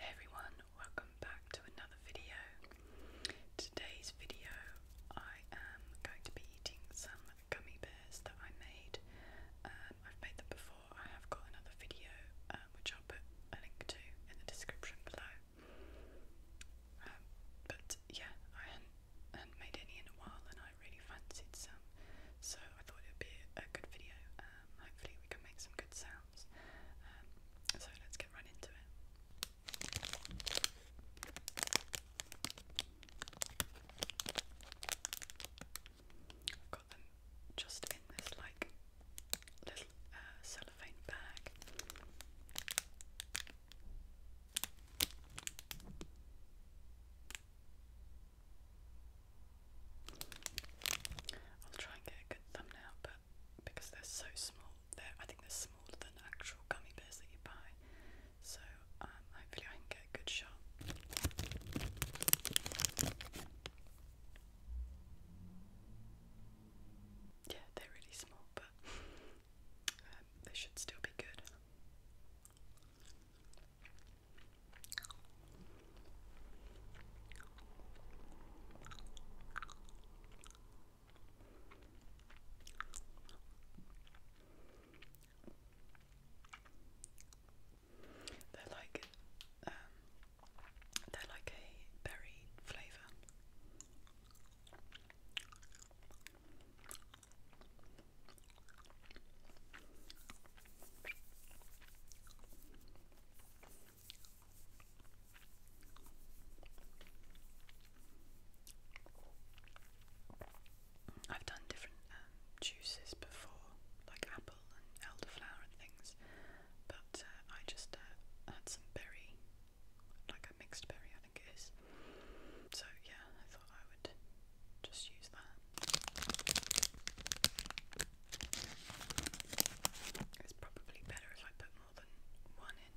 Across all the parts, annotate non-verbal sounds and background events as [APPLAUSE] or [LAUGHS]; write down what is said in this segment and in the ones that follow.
Hey everyone, welcome back to another video. Today's video I am going to be eating some gummy bears that I made. Um, I've made them before. I have got another video um, which I'll put a link to in the description below. Um, but yeah, I had not made any in a while and I I really fancied some, so I thought it would be a good video. Um, hopefully, we can make some good sounds. Um, so, let's get right into it. got them just in this like little uh, cellophane bag. I'll try and get a good thumbnail, but because they're so small, they're I think they're smaller than actual gummy bears that you buy. So um, hopefully I can get a good shot. Yeah, they're really small, but um, they should still be good. They're like um, they're like a berry flavour. I've done different um, juices before, like apple and elderflower and things, but uh, I just uh, had some berry, like a mixed berry, I think it is. So, yeah, I thought I just use that. It's probably better if I put more than one in.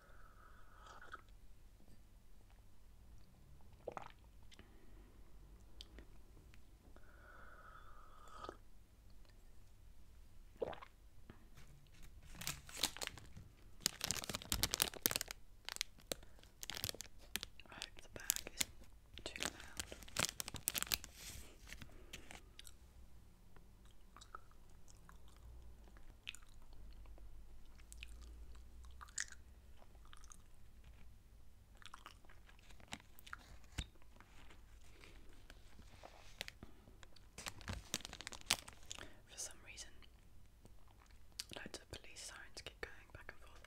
I hope the bag isn't too loud. For some reason, loads of police sirens keep going back and forth.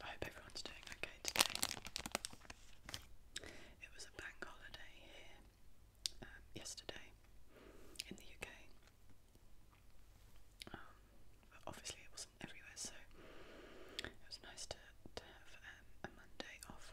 I hope everyone's doing okay today. It was a bank holiday here um, yesterday in the UK. Um, but obviously, it wasn't everywhere, so it was nice to, to have um, a Monday off.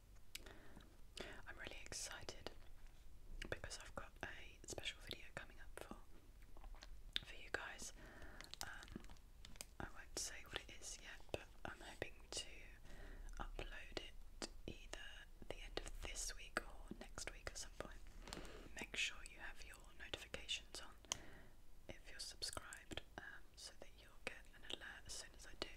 I'm really excited because I've got a special video coming up for for you guys. Um, I won't say what it is yet, but I'm hoping to upload it either the end of this week or next week at some point. Make sure you have your notifications on if you're subscribed, um, so that you'll get an alert as soon as I do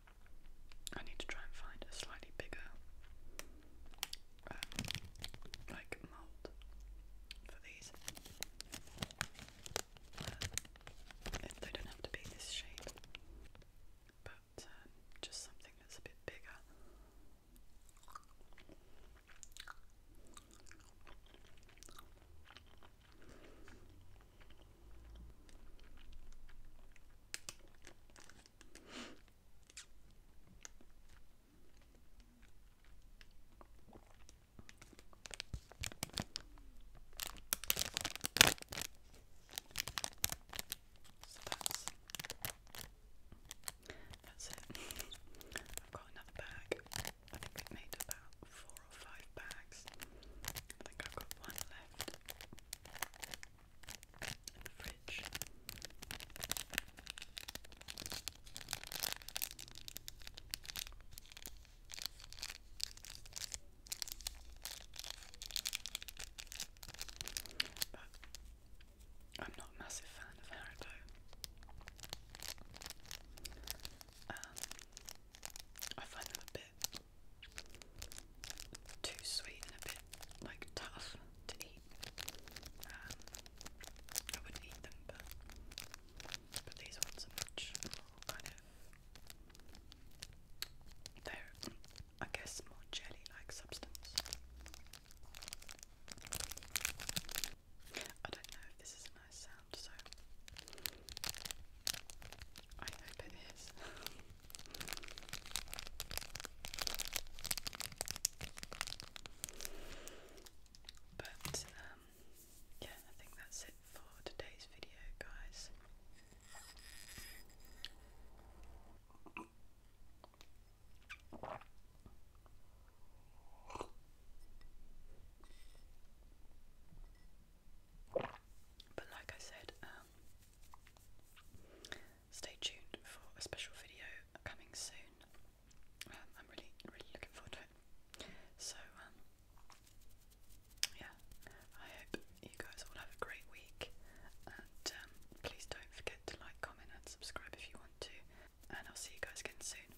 I need to try and find a slightly bigger uh, like mold for these. Uh, they don't have to be this shape, but um, just something that's a bit bigger. So that's, that's it. [LAUGHS] I've got another bag. I think we've made about four or five bags. I think I've got one left. I'm not a massive fan of Haribo. Um, I find them a bit too sweet and a bit like tough to eat. Um, I wouldn't eat them, but but these ones are much they're I guess more jelly-like substance. I don't know if this is a nice sound, so I hope it is. but um, yeah, I think that's it for today's video, guys. But like I said, um, Stay tuned for a special video coming soon. Um, I'm really, really looking forward to it. So, um, yeah, I hope you guys all have a great week. And um, please don't forget to like, comment, and subscribe if you want to. And I'll see you guys again soon.